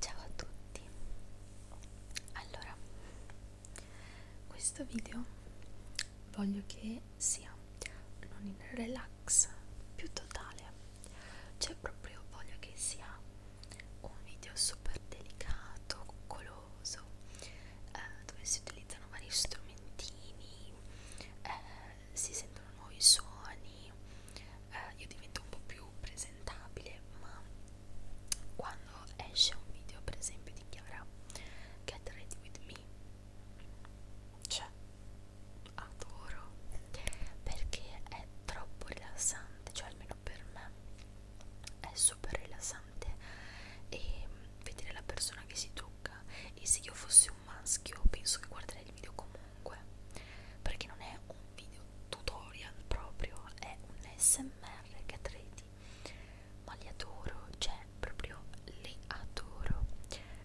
Ciao a tutti. Allora, questo video voglio che sia non in relax più totale. Cioè proprio voglio che sia un video super delicato, coccoloso, eh, dove si utilizzano vari strumentini. Eh, si sentono nuovi suoni, eh, io divento un po' più presentabile, ma quando esce un video per esempio di Chiara Get Ready With Me, cioè adoro perché è troppo rilassante, cioè almeno per me è super rilassante e mm, vedere la persona che si trucca e se io fossi un maschio penso che guarderei il video comunque perché non è un video tutorial proprio è un smr che tredi ma li adoro cioè proprio li adoro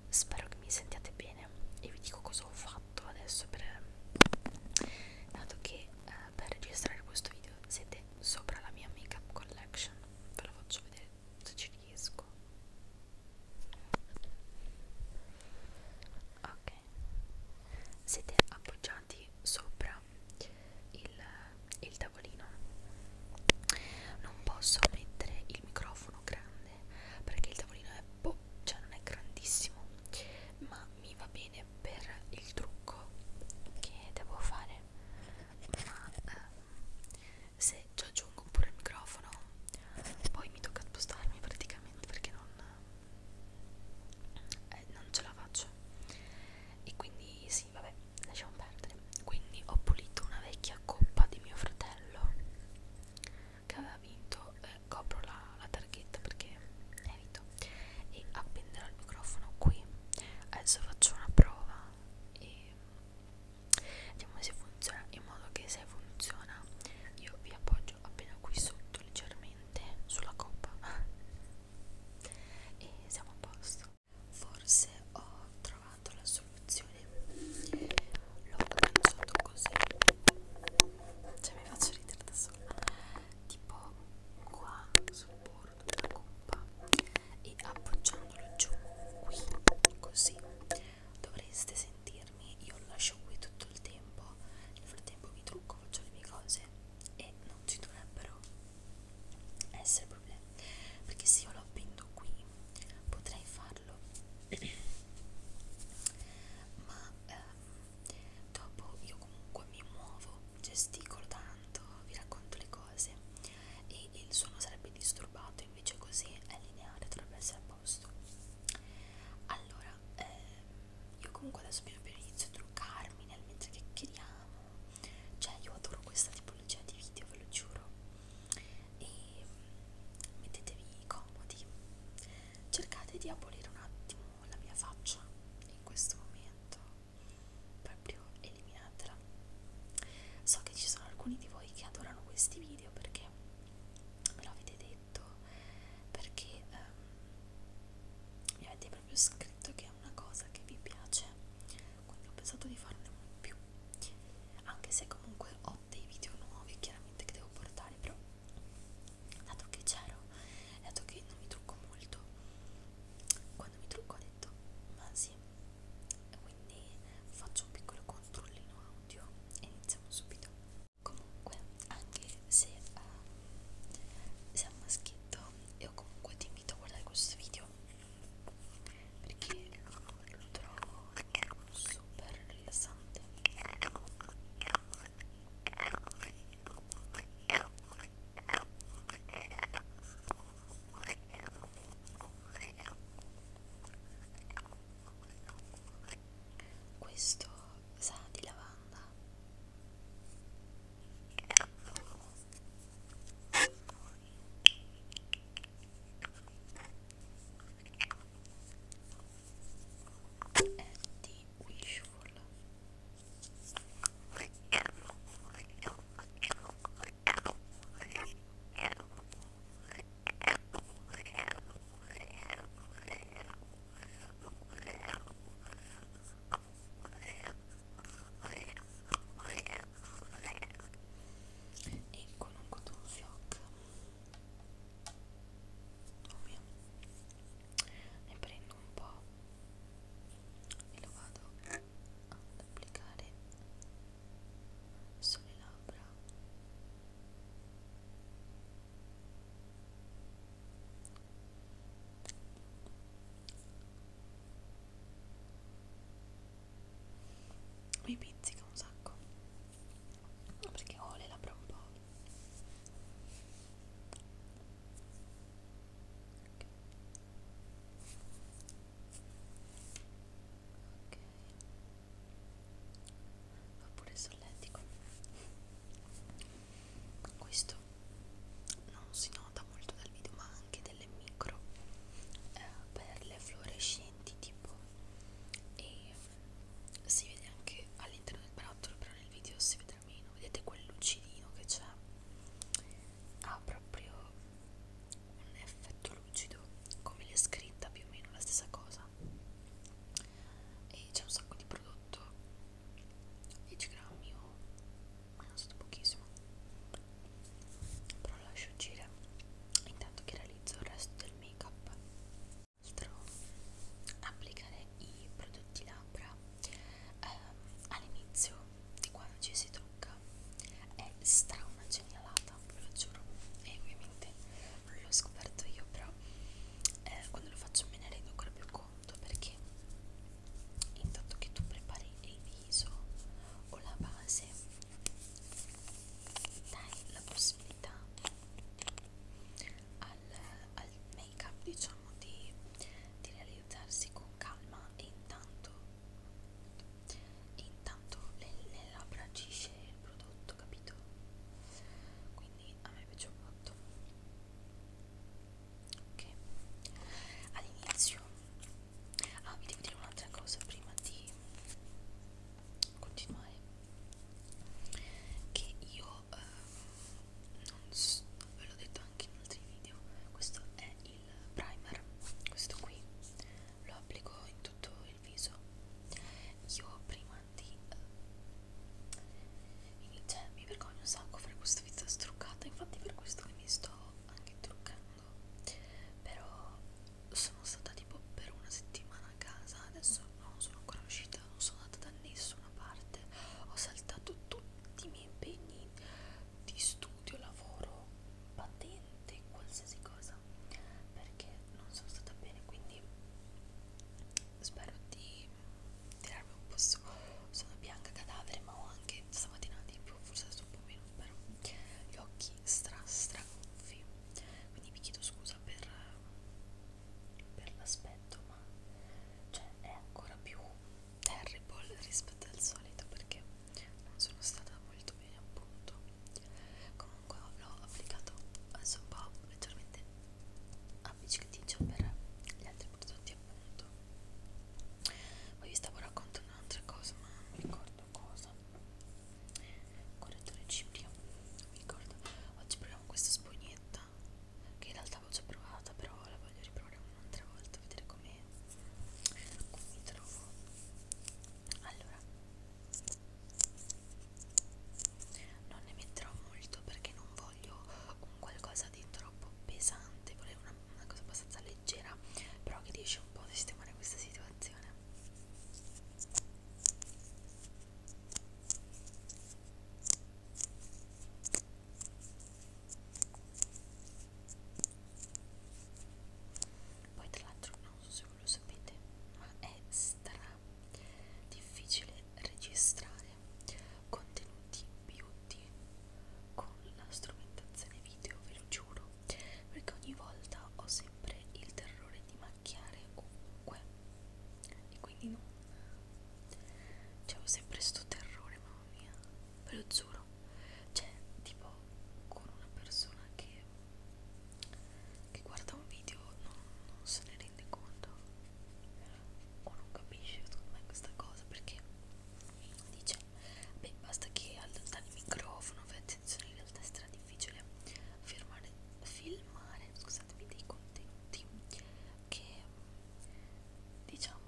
spero che mi sentiate bene e vi dico cosa ho fatto adesso per dato che eh, per registrare questo video siete sopra la mia makeup collection ve la faccio vedere se ci riesco ok siete appoggiati sopra il, il tavolino non posso mettere il microfono grande perché il tavolino è boh, cioè non è grandissimo ma mi va bene per il trucco che devo fare ma ehm, se ci aggiungo pure il microfono poi mi tocca spostarmi praticamente perché non, eh, non ce la faccio e quindi sì vabbè lasciamo perdere quindi ho pulito una vecchia coppa di mio fratello che aveva vinto eh, copro la, la targhetta perché evito e appenderò il microfono qui adesso faccio una prova e vediamo se funziona in modo che se funziona io vi appoggio appena qui sotto leggermente sulla coppa e siamo a posto forse ho trovato la soluzione l'ho pensato così cioè mi faccio ridere da sola tipo qua sul bordo della coppa e appoggiandolo giù qui così dovreste sentirmi io lo lascio qui tutto il tempo nel frattempo mi trucco faccio le mie cose e non ci dovrebbero essere problemi perché se io lo appendo qui potrei farlo ma ehm, dopo io comunque mi muovo gesticolo tanto vi racconto le cose e il suono sarebbe disturbato quadrato invece così è lineare dovrebbe essere a posto allora ehm, io comunque adesso piano piano inizio a truccarmi nel mentre chiacchieriamo cioè io adoro questa tipologia di video ve lo giuro e mm, mettetevi comodi cercate di abolire un attimo la mia faccia in questo momento proprio e eliminatela so che ci sono alcuni di voi che adorano questi video perché me lo avete detto perché ehm, mi avete proprio scritto che è una cosa che vi piace quindi ho pensato di farne più anche se comunque ho dei video nuovi chiaramente che devo portare però dato che c'ero dato che non mi trucco molto quando mi trucco ho detto ma sì quindi faccio un piccolo controllino audio e iniziamo subito comunque anche se uh, eh, sei un maschietto io comunque ti invito a guardare questo video perché lo trovo super rilassante questo sa di lavanda. È di Wishful e con un cotton fioc ovvio oh ne prendo un po' e lo vado ad applicare sulle labbra mi pizzica un sacco perché ho le labbra un po' okay va pure solletico questo non si nota molto dal video ma anche delle micro eh, perle fluorescenti tipo e si vede anche all'interno del barattolo però nel video si vede meno vedete quel lucidino che c'è ha proprio un effetto lucido come l'è scritta più o meno la stessa cosa e c'è un sacco di prodotto 10 grammi o non so pochissimo però lo lascio uscire intanto che realizzo il resto del make up altro applicare i prodotti labbra ehm, all'inizio di quando ci si trucca è stra una genialata, ve lo giuro e ovviamente non l'ho scoperto io però eh, quando lo faccio me ne rendo ancora più conto perché intanto che tu prepari il viso o la base dai la possibilità al, al make up diciamo di, di realizzarsi con calma e intanto e intanto le, le labbra agisce il prodotto capito quindi a me piace un botto ok all'inizio ah vi devo dire un'altra cosa prima di continuare che io eh, non so, ve l'ho detto anche in altri video questo è il primer questo qui lo applico in tutto il viso io prima di eh, cioè mi vergogno un sacco fare questa vita struccata infatti per questo che mi sto anche truccando però sono stata tipo per una settimana a casa adesso non sono ancora uscita non sono andata da nessuna parte ho saltato tutti i miei impegni di studio, lavoro, patente, qualsiasi cosa perché non sono stata bene quindi spero di tirarmi un po' su sono bianca cadavere ma ho anche stamattina di più forse adesso un po' meno però gli occhi stra stra gonfi quindi vi chiedo scusa per, per l'aspetto ma cioè è ancora più terrible rispetto al solito perché non sono stata molto bene appunto comunque l'ho applicato adesso un po' leggermente appiccicaticcio per gli altri prodotti appunto poi vi stavo raccontando un'altra cosa ma non mi ricordo cosa correttore cipria non mi ricordo oggi proviamo questa spugnetta che in realtà avevo già provata però la voglio riprovare un'altra volta vedere come mi trovo allora non ne metterò molto perché non voglio un qualcosa di troppo pesante volevo una, una cosa abbastanza leggera però che riesce un po' a sistemare questa situazione poi tra l'altro non so se voi lo sapete ma è stra difficile registrare contenuti beauty con la strumentazione video ve lo giuro perché ogni volta ho sempre il terrore di macchiare ovunque e quindi non c'è sempre sto terrore mamma mia ve lo giuro no cioè tipo con una persona che, che guarda un video non, non se ne rende conto o non capisce secondo me questa cosa perché dice beh basta che allontani il microfono fai attenzione in realtà è stra difficile firmare, filmare scusatemi dei contenuti che diciamo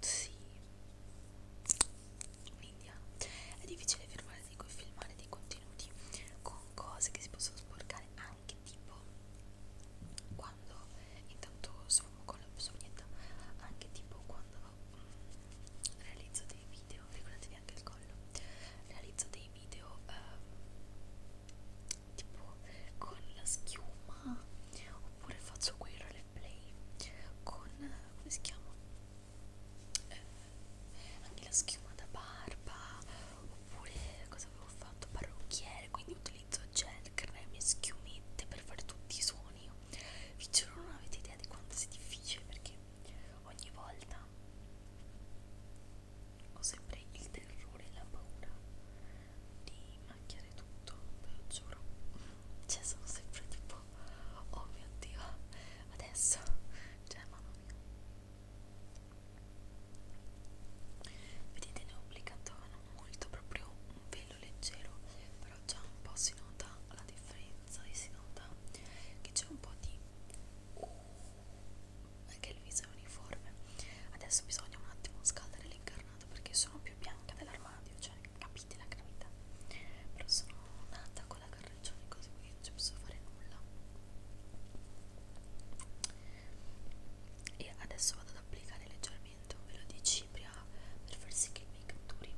sì media ah, è difficile firmare dei, filmare dei contenuti con cose che si possono sporcare anche tipo quando intanto sfumo con la sognetta anche tipo quando mh, mm, realizzo dei video ricordatevi anche il collo realizzo dei video eh, tipo con la schiuma oppure faccio quei roleplay con come si chiama eh, anche la schiuma da barba oppure cosa avevo fatto parrucchiere quindi utilizzo gel, creme, schiumette per fare tutti i suoni vi giuro non avete idea di quanto sia difficile perché ogni volta ho sempre il terrore e la paura di macchiare tutto ve lo giuro cioè sono sempre tipo oh mio dio adesso cioè mamma mia vedete ne ho applicato molto proprio un velo leggero però già un po' si nota la differenza e si nota che c'è un po' di uh, anche il viso è uniforme adesso bisogna un attimo scaldare l'incarnato perché sono più bianca dell'armadio cioè capite la gravità però sono nata con la carreggione così qui non ci posso fare nulla e adesso vado ad applicare leggermente un velo di cipria per far sì che mi catturi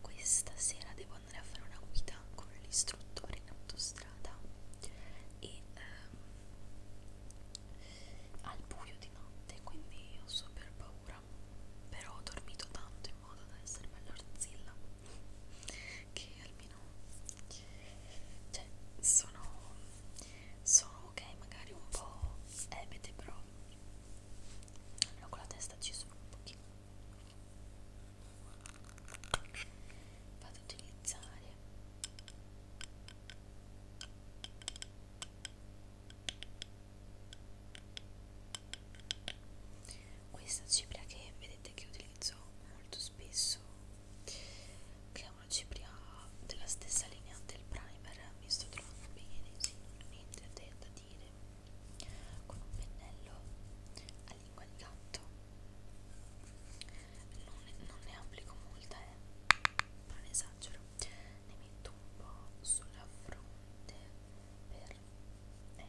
questa sera devo andare a fare una guida con l'istruttore in autostrada e ehm, al buio di notte quindi ho super paura sopra però ho dormito tanto in modo da essere bella arzilla che almeno cioè sono sono ok magari un po' ebete però almeno con la testa ci sono un pochino vado ad utilizzare questa cipria che vedete che utilizzo molto spesso che è una cipria della stessa linea del primer mi sto trovando bene sì, niente da dire con un pennello a lingua di gatto non, non ne applico molta eh, non esagero ne metto un po' sulla fronte per eh,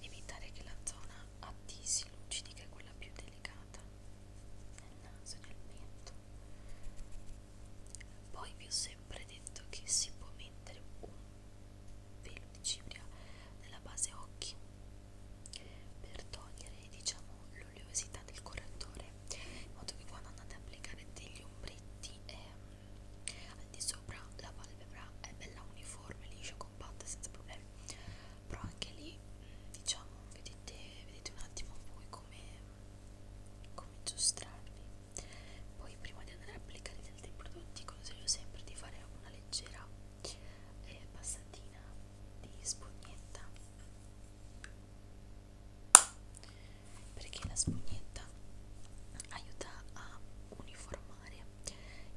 evitare che la zona attisi lucidi che è quella più delicata nel naso e nel petto poi vi ho sempre detto che si può mettere un velo di cipria nella base occhi per togliere diciamo l'oleosità del correttore in modo che quando andate a applicare degli ombretti eh, al di sopra la palpebra è bella uniforme, liscia, compatta, senza problemi. Però anche lì, mm, diciamo, vedete, vedete un attimo voi come, come giostrarvi. Poi prima di andare a applicare gli altri prodotti consiglio sempre di fare una leggera eh, passatina di spugnetta perché la spugnetta aiuta a uniformare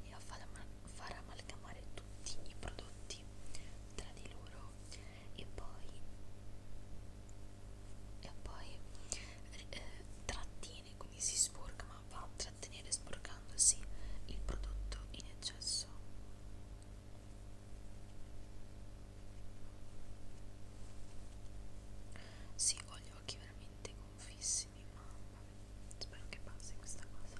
e a far, am far amalgamare tutti i prodotti tra di loro e poi, e poi eh, trattiene quindi si sporca ma va a trattenere sporcandosi il prodotto in eccesso sì, ho gli occhi veramente confissimi, ma spero che passi questa cosa.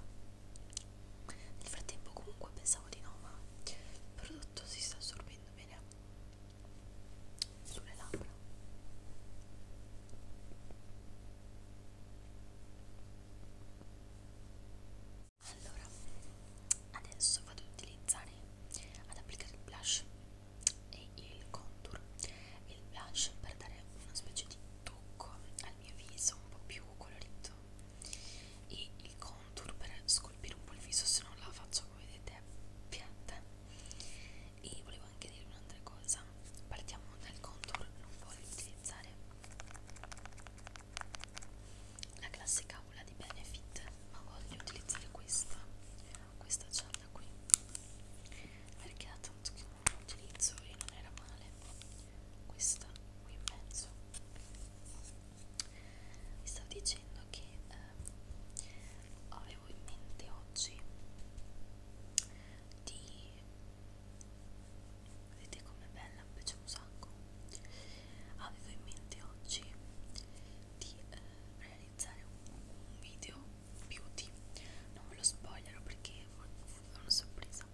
Nel frattempo comunque pensavo di no, ma il prodotto si sta assorbendo bene sulle labbra. Allora, adesso vado ad utilizzare ad applicare il blush e il contour e il blush per dare una specie di tocco al mio viso un po' più colorito e il contour per scolpire un po' il viso se non la faccio come vedete piatta e volevo anche dire un'altra cosa partiamo dal contour non voglio utilizzare la classica aula di Benefit ma voglio utilizzare questa a questa gialla qui perché era tanto che non la utilizzo e non era male questa qui in mezzo vi stavo dicendo che eh, avevo in mente oggi di vedete com'è bella mi piace un sacco avevo in mente oggi di eh, realizzare un, un video beauty non ve lo spoilerò perché è una sorpresa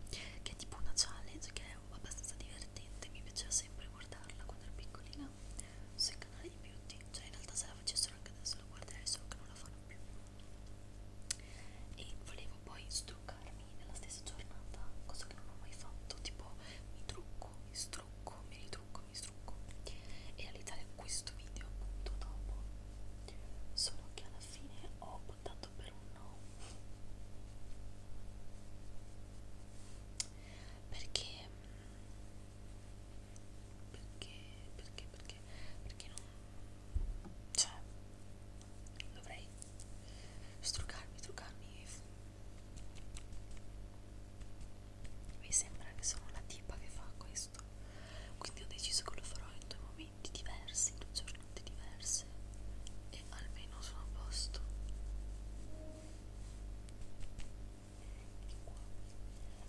che è tipo una challenge che è abbastanza divertente mi piaceva sempre guardarla quando ero piccolina sul canale di beauty cioè in realtà se la facessero anche adesso la guarderei solo che non la fanno più e volevo poi struccarmi nella stessa giornata cosa che non ho mai fatto tipo mi trucco mi strucco mi ritrucco mi trucco e realizzare questo video appunto dopo solo che alla fine ho buttato per un no perché perché perché perché perché non cioè dovrei struccarmi truccarmi mi sembra che sono la tipa che fa questo quindi ho deciso che lo farò in due momenti diversi, in due giornate diverse e almeno sono a posto e qua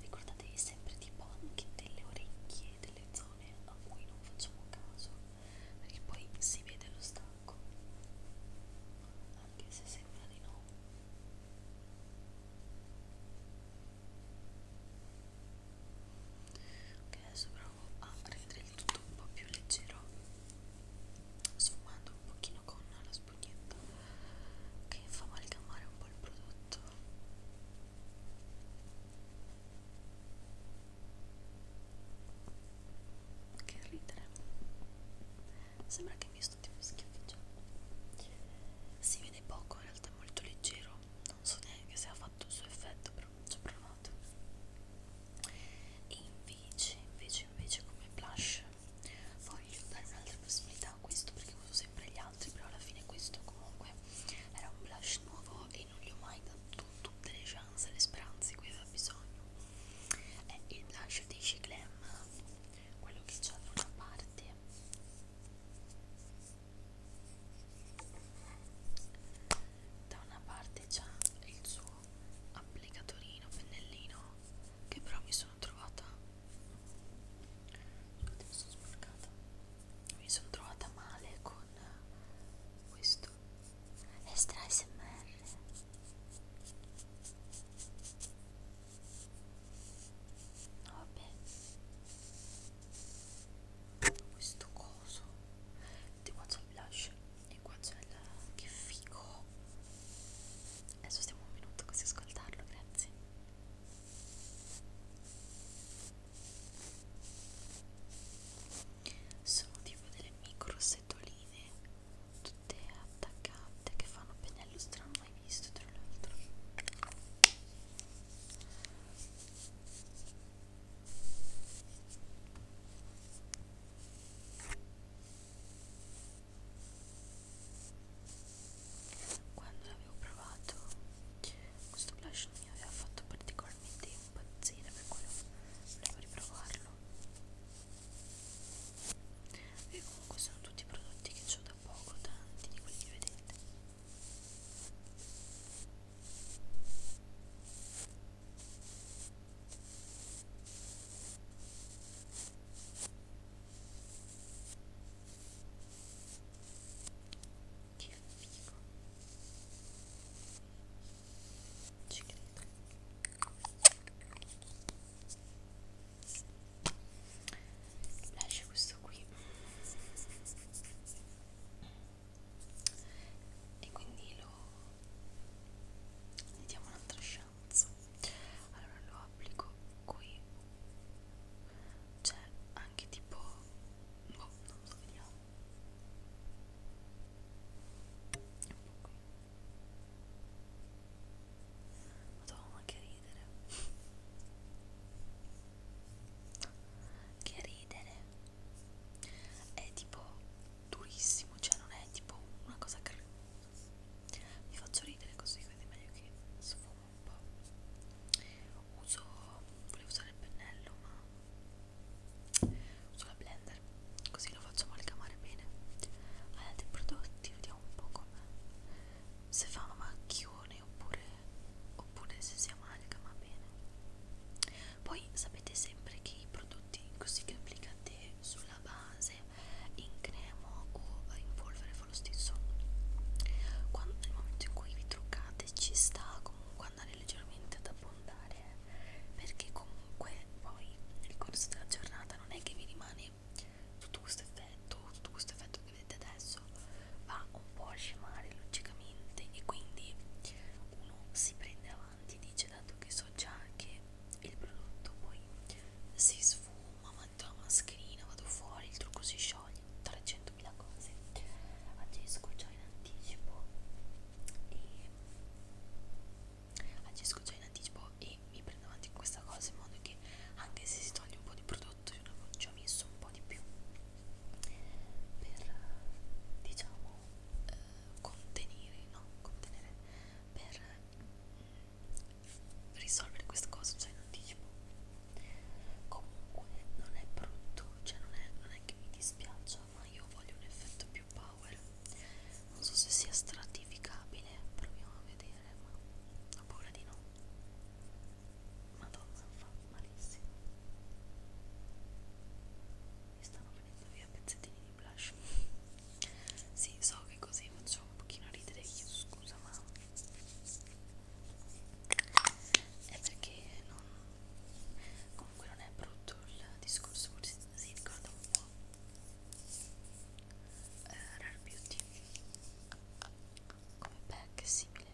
ricordatevi sempre tipo anche delle orecchie delle zone a cui non facciamo caso perché poi si vede lo stacco anche se sembra di no ok adesso provo a rendere il tutto un po' più leggero sfumando un pochino con la spugnetta che fa amalgamare un po' il prodotto che ridere sembra che mi sto tipo schiaffeggiando si vede poco in realtà è molto leggero non so neanche se ha fatto il suo effetto però ci ho provato e invece invece invece come blush voglio dare un'altra possibilità a questo perché uso sempre gli altri però alla fine questo comunque era un blush nuovo e non gli ho mai dato tutte le chance e le speranze di cui aveva bisogno è il blush di Glam quello che c'ha da una parte da una parte c'ha il suo applicatorino pennellino che però mi sono trovata scusate mi sono sporcata mi sono trovata male con questo extra smr vabbè questo coso di qua c'è il blush e qua c'è il che figo adesso stiamo un minuto così ascoltarlo grazie sono tipo delle micro setoline tutte attaccate che fanno pennello strano mai visto tra l'altro quando l'avevo provato questo blush non mi aveva fatto particolarmente impazzire per quello volevo riprovarlo e comunque sono tutti i prodotti che ho da da poco tanti di quelli che vedete che figo ci credo lascio questo qui e quindi lo gli diamo un'altra chance allora lo applico qui cioè anche tipo boh non lo so vediamo un po' qui Madonna che ridere che ridere è tipo durissimo cioè non è tipo una cosa che mi faccio ridere così quindi è meglio che sfumo un po' uso volevo usare il pennello ma uso la blender così lo faccio amalgamare bene ad altri prodotti vediamo un po' come se fa un macchione oppure, oppure se si amalgama bene poi sapete sempre che i prodotti così che applicate sulla base in cremo o in polvere fa lo stesso Quando, nel momento in cui vi truccate ci sta comunque andare leggermente ad abbondare eh, perché comunque poi nel corso della giornata non è che vi rimane tutto questo effetto, tutto questo effetto che vedete adesso va un po' a scemare logicamente e quindi uno si prende avanti e dice dato che so già che il prodotto poi si sfuma, metto la mascherina, vado fuori, il trucco si scioglie, 300.000 cose agisco già in anticipo e agisco già in anticipo e mi prendo avanti in questa cosa in modo che anche se si toglie un po' di prodotto io ne ci ho messo un po' di più per diciamo eh, contenere no contenere per mm, risolvere questa cosa cioè non diciamo comunque non è brutto cioè non è, non è che mi dispiaccia ma io voglio un effetto più power non so se sia stratificabile proviamo a vedere ma ho paura di no madonna fa malissimo mi stanno venendo via pezzettini di blush sì so che così faccio un pochino ridere chiedo scusa ma è perché non comunque non è brutto il discorso forse si ricorda un po' eh, Rare Beauty come pack è simile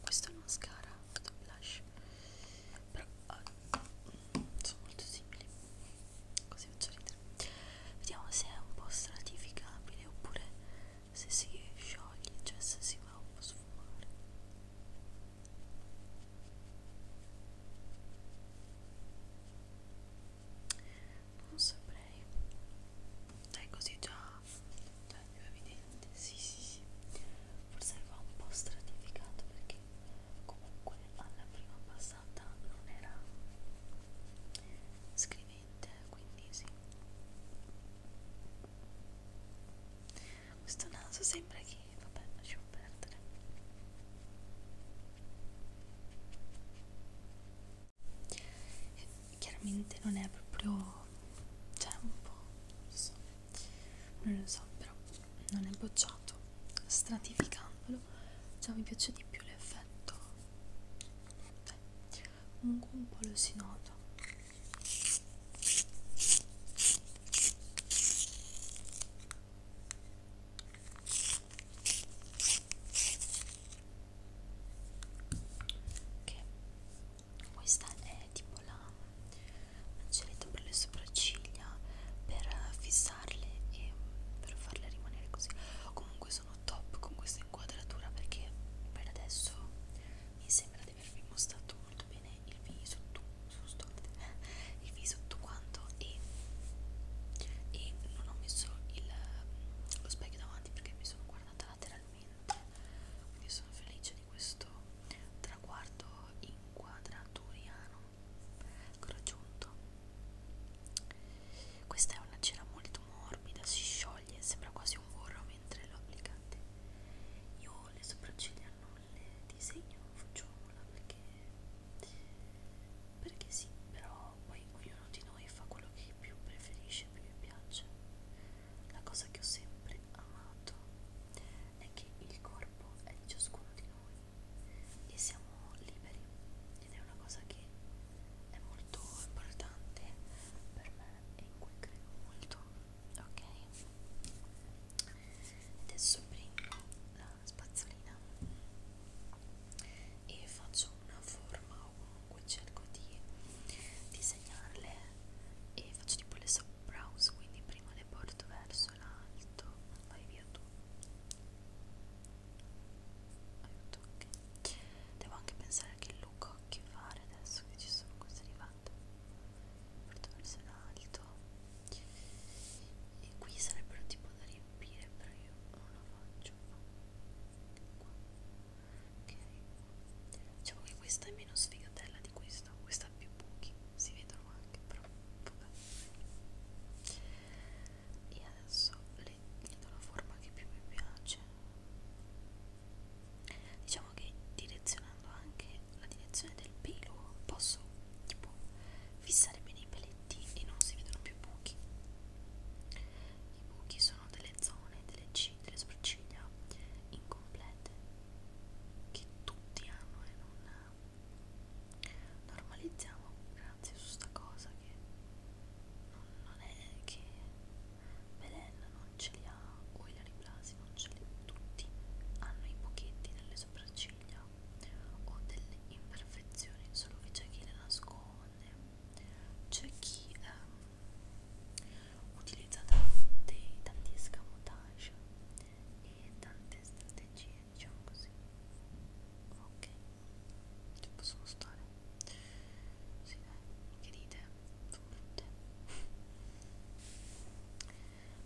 questo è un mascara, questo è blush però oh, sono molto simili così faccio ridere vediamo se è un po' stratificabile oppure se si scioglie cioè se si va un po' sfumare non saprei dai così già già più evidente sì sì sì forse va un po' stratificato perché comunque alla prima passata non era scrivente quindi sì questo naso sembra che vabbè lasciamo perdere chiaramente non è proprio cioè un po' non lo so non lo so però non è bocciato stratificandolo già mi piace di più l'effetto Beh, cioè, comunque un po' lo si nota che questa è tipo la mancelletta per le sopracciglia per fissarle e per farle rimanere così comunque sono top con questa inquadratura perché per adesso mi sembra di avervi mostrato molto bene il viso tutto, il viso tutto quanto e e non ho messo il, lo specchio davanti perché mi sono guardata lateralmente quindi sono felice di questo traguardo inquadraturiano che ho raggiunto questa è una cera molto morbida si scioglie sembra quasi un burro mentre lo applicate io le sopracciglia non le disegno facciamola perché perché sì però poi ognuno di noi fa quello che più preferisce, più gli piace. La cosa che ho sempre amato è che il corpo è di ciascuno di noi e siamo liberi ed è una cosa che è molto importante per me e in cui credo molto, ok? Adesso prendo la spazzolina e faccio una forma o comunque cerco di disegnarle e faccio tipo le sobbrows quindi prima le porto verso l'alto vai via tu aiuto ok devo anche pensare a che look ho che fare adesso che ci sono queste arrivate porto verso l'alto e qui sarebbero tipo da riempire però io non lo faccio ciuffo qua ok diciamo che questa è meno sfigatella di questa questa ha più buchi si vedono anche però vabbè e adesso le, le do la forma che più mi piace diciamo che direzionando anche la direzione del pelo posso tipo fissare bene i peli paletti e non si vedono più buchi. I buchi sono delle zone, delle, delle sopracciglia incomplete che tutti hanno e non normalizziamo grazie su sta cosa che non, non è che Belen non ce li ha o Ilari Blasi non ce li ha tutti hanno i buchetti nelle sopracciglia o delle imperfezioni solo che c'è chi le nasconde donne c'è chi um, utilizza tanti, tanti escamotage e tante strategie diciamo così ok ci possono stare sì dai che dite sono brutte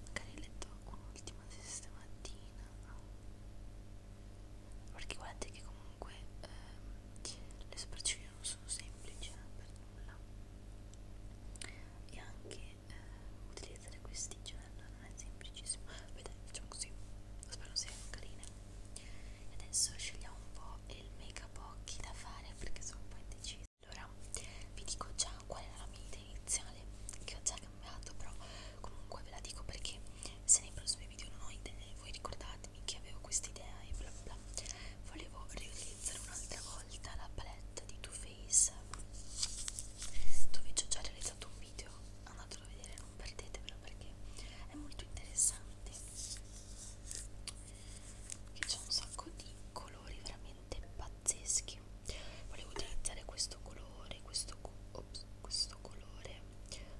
magari letto un'ultima di stamattina perché guardate che comunque ehm, le sopracciglia non sono semplici eh, per nulla e anche eh, utilizzare questi gel non è semplicissimo vedete facciamo così spero siano carine e adesso scegliamo un po' il make up occhi da fare perché sono un po' indecisa allora vi dico già qual era la mia idea iniziale che ho già cambiato però comunque ve la dico perché se nei prossimi video non ho idee voi ricordatemi che avevo quest'idea e bla bla volevo riutilizzare un'altra volta la palette di Too Faced dove ci ho già realizzato un video andatelo a vedere non perdetevelo perché è molto interessante che c'è un sacco di colori veramente pazzeschi volevo utilizzare questo colore questo ops, questo colore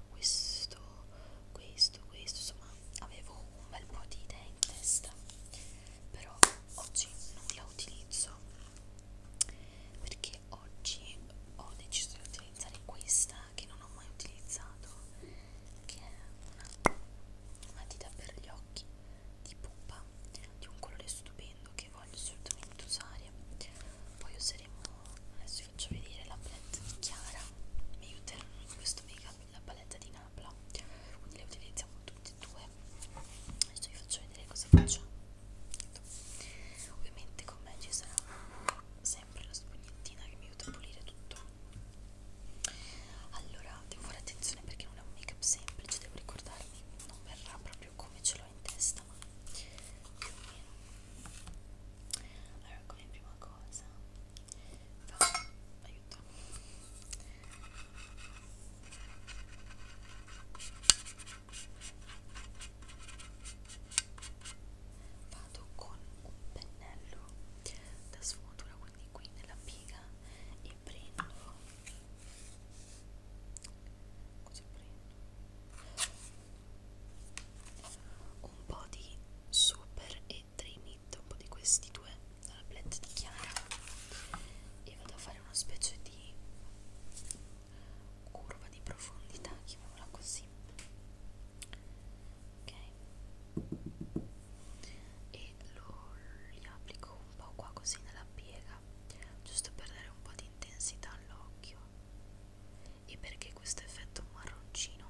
questo questo questo insomma avevo un bel po' di idee in testa però oggi non la utilizzo perché oggi ho deciso di utilizzare questa che non ho mai utilizzato che è una matita per gli occhi di pupa di un colore stupendo che voglio assolutamente usare poi useremo adesso vi faccio vedere la palette di Chiara mi aiuterà in questo make up la palette di Napla quindi le utilizziamo tutte e due adesso vi faccio vedere cosa facciamo ovviamente con me ci sarà sempre la spugnettina che mi aiuta a pulire tutto allora devo fare attenzione perché non è un make up semplice devo ricordarmi non verrà proprio come ce l'ho in testa insomma più o meno allora come prima cosa fa aiuto vado con un pennello da sfumatura quindi qui nella piga e prendo così prendo un po' di super e trinit un po' di questi due dalla blend di Chiara e vado a fare una specie di curva di profondità chiamiamola così ok e lo li applico un po' qua così nella piega giusto per dare un po' di intensità all'occhio e perché questo effetto marroncino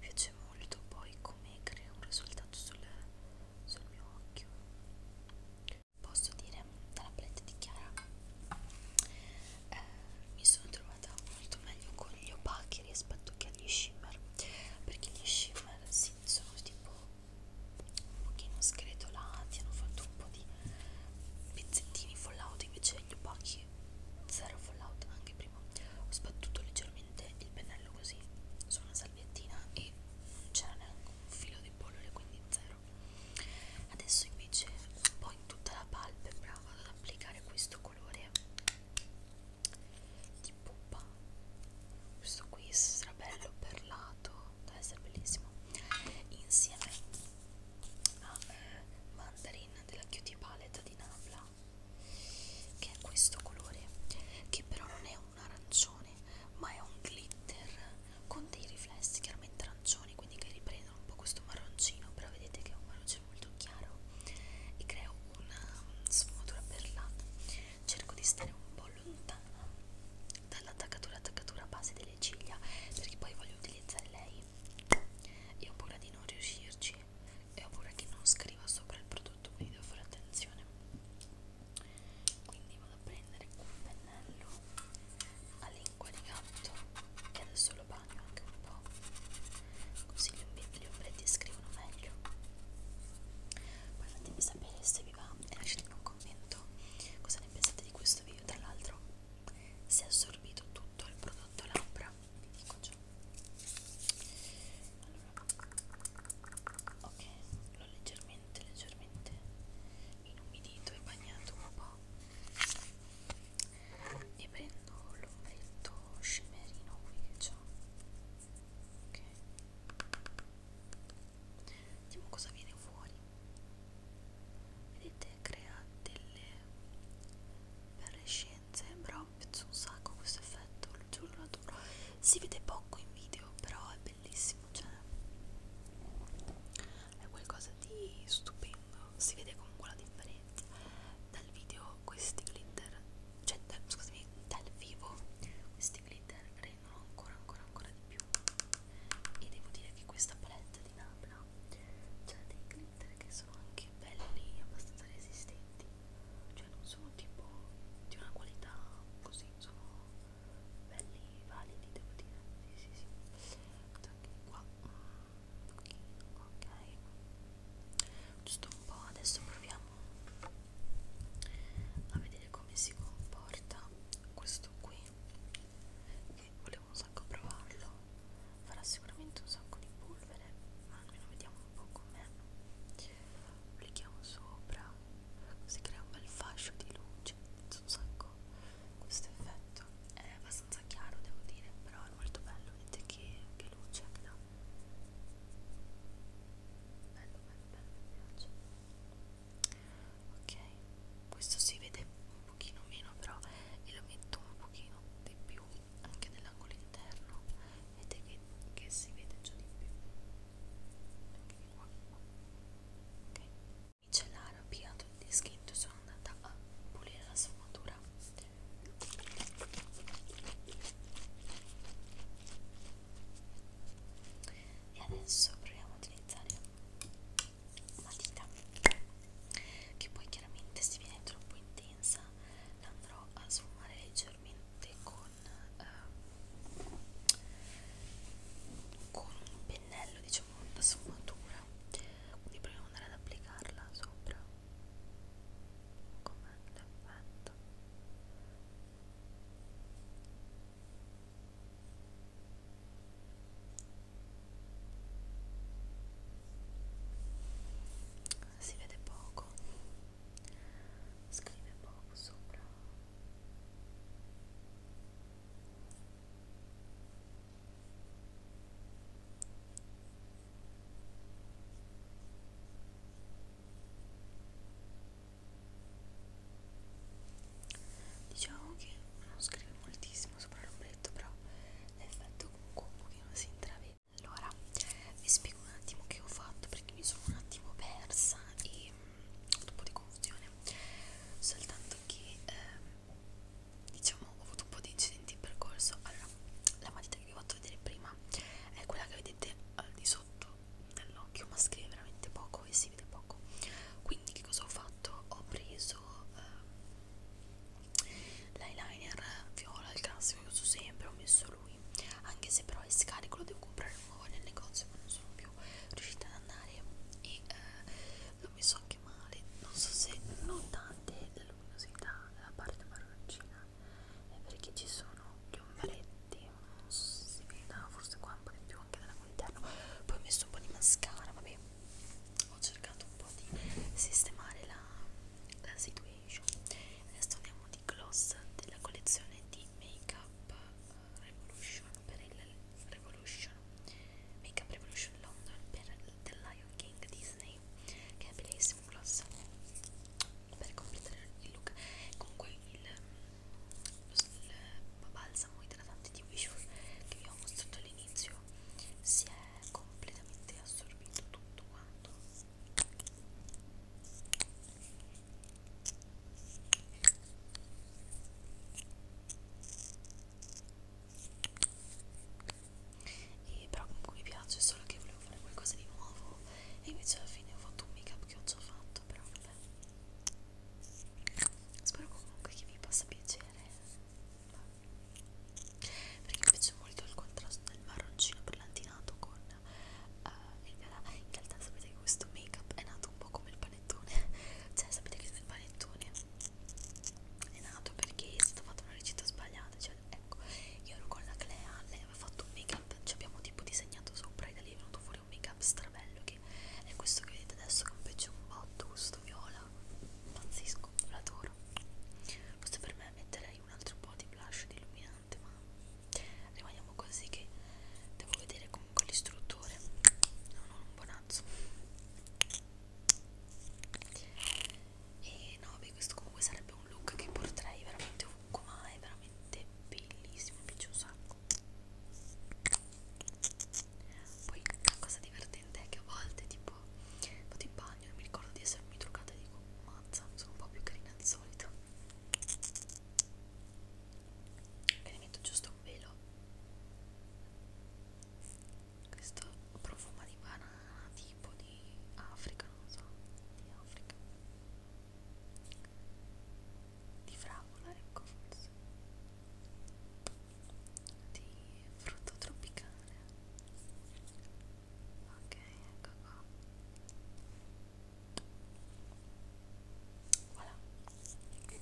piace molto poi come crea un risultato sul, sul mio occhio posso dire dalla palette di Chiara eh, mi sono trovata molto meglio con gli opachi rispetto che agli shimmer perché gli shimmer sì, sono tipo un pochino scretolati hanno fatto un po' di pezzettini fallout invece gli opachi sì, Zero Fallout anche prima. Ho sbattuto leggermente il pennello così su una salviettina e non c'era neanche un filo di polvere, quindi zero. Adesso invece un po' in tutta la palpebra vado ad applicare questo colore di pupa. Questo qui sarà bello perlato, deve essere bellissimo. Insieme ah, eh, Mandarin della Cutie Palette di Nabla che è questo colore che però non è un arancione ma è un glitter con dei riflessi chiaramente arancioni quindi che riprendono un po' questo marroncino però vedete che è un marroncino molto chiaro e creo una sfumatura perlata cerco di stare un po' lontana dall'attaccatura attaccatura a base delle ciglia perché poi voglio utilizzare lei quindi io ho paura di non riuscirci e ho paura che non scriva sopra il prodotto quindi devo fare attenzione quindi vado a prendere un pennello a lingua di gatto e adesso lo bagno anche un po' così gli ombretti scrivono meglio poi fatemi sapere se vi va e lasciatemi un commento cosa ne pensate di questo video tra l'altro si è assorbito tutto il prodotto labbra vi dico ecco ciò allora, ok l'ho leggermente leggermente inumidito e bagnato un po' e prendo l'ombretto scimerino qui che c'ho ok vediamo cosa viene fuori vedete crea delle fluorescenze però mi piace un sacco questo effetto lo giuro lo adoro si vede poco in video però è bellissimo cioè è qualcosa di stupendo si vede comunque la differenza dal video questi glitter cioè da, scusami dal vivo questi glitter rendono ancora ancora ancora di più e devo dire che questa palette di Napla c'ha cioè dei glitter che sono anche belli abbastanza resistenti cioè non sono tipo di una qualità così sono belli validi devo dire sì sì sì anche qua un mm, pochino ok giusto un po' adesso proviamo a vedere come si comporta questo qui che volevo devo un sacco provarlo farà sicuramente un sacco di polvere ma almeno vediamo un po' com'è applichiamo sopra si crea un bel fascio di luce un sacco questo effetto è abbastanza chiaro devo dire però è molto bello vedete che, che luce che dà bello bello bello mi piace ok questo si vede un pochino meno però e lo metto un pochino di più anche nell'angolo interno vedete che, che si vede già di più anche qua ok micellare ho pigliato il dischetto e sono andata a pulire la sfumatura e adesso proviamo a utilizzare matita che poi chiaramente se viene troppo intensa la andrò a sfumare leggermente con, eh, con un pennello diciamo una sfumatura quindi proviamo ad andare ad applicarla sopra come l'effetto si vede poco scrive poco sopra Diciamo che non scrive moltissimo tantissimo sopra l'ombretto però l'effetto comunque un pochino si intravede allora vi spiego un attimo che ho fatto perché mi sono un attimo persa e mh, mm, un po' di confusione soltanto che eh, diciamo ho avuto un po' di incidenti in percorso allora la matita che vi ho fatto vedere prima è quella che vedete al di sotto dell'occhio ma scrive veramente poco e si vede poco quindi che cosa ho fatto? ho preso uso eh, l'eyeliner viola, il classico che uso sempre, ho messo lui anche se però è scarico, lo devo comprare nuovo nel negozio ma non sono più riuscita ad andare e eh, l'ho messo anche male non so se notate la luminosità della parte marroncina è perché ci sono gli ombretti non so se si veda forse qua un po' di più anche dall'interno poi ho messo un po' di mascara vabbè ho cercato un po' di sistemare la, la situation adesso andiamo di gloss della collezione di Make Up eh, Revolution per il Revolution Make Up Revolution London per The Lion King Disney che è bellissimo gloss per completare il look comunque il, il balsamo idratante di Wishful che vi ho mostrato lì all'inizio si è completamente assorbito tutto quanto e però comunque mi piace solo che volevo fare qualcosa di nuovo e invece alla fine ho fatto un make up che ho già fatto però vabbè spero comunque che vi possa piacere perché mi piace molto il contrasto del marroncino brillantinato con uh, il viola in realtà sapete che questo make up è nato un po' come il panettone cioè sapete che il panettone è nato perché è stata fatta una ricetta sbagliata cioè ecco io ero con la Clea lei aveva fatto un make up ci abbiamo tipo disegnato sopra e da lì è venuto fuori un make up strabello che è questo che vedete adesso che è un pezzo un botto giusto questo viola pazzesco l'adoro questo per me metterei un altro po' di blush di illuminante ma rimaniamo così che devo vedere comunque l'istruttore no non un bonazzo e no beh questo comunque sarebbe un look che porterei veramente ovunque ma è veramente bellissimo mi piace un sacco poi la cosa divertente è che a volte tipo vado in bagno e mi ricordo di essermi truccata e dico mazza, sono un po' più carina del solito. E ne metto giusto un velo. Questo profuma di banana tipo di Africa, non so, di Africa. Di fragola, ecco forse di frutto tropicale ok ecco qua voilà Bene,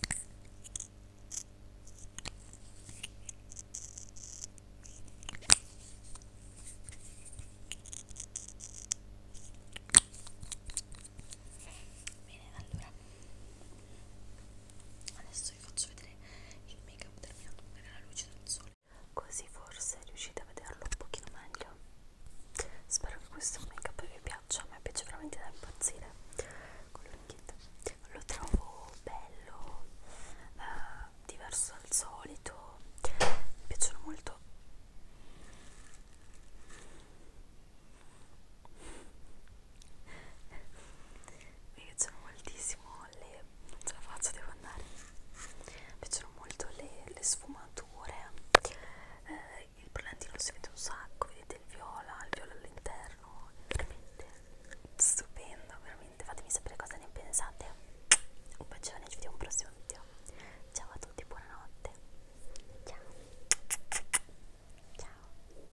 allora adesso adesso vi faccio vedere il make up terminato magari alla luce del sole così forse riuscite a vederlo un pochino meglio spero che questo make up vi piaccia a me piace veramente da impazzire quello in kit lo trovo bello eh, diverso dal solito mi piacciono molto mi piacciono moltissimo le non ce la faccio devo andare mi piacciono molto le, le sfumature eh, il brillantino si vede un sacco vedete il viola il viola all'interno veramente stupendo veramente fatemi sapere cosa ne pensate un bacione ci vediamo al prossimo video ciao a tutti buonanotte ciao ciao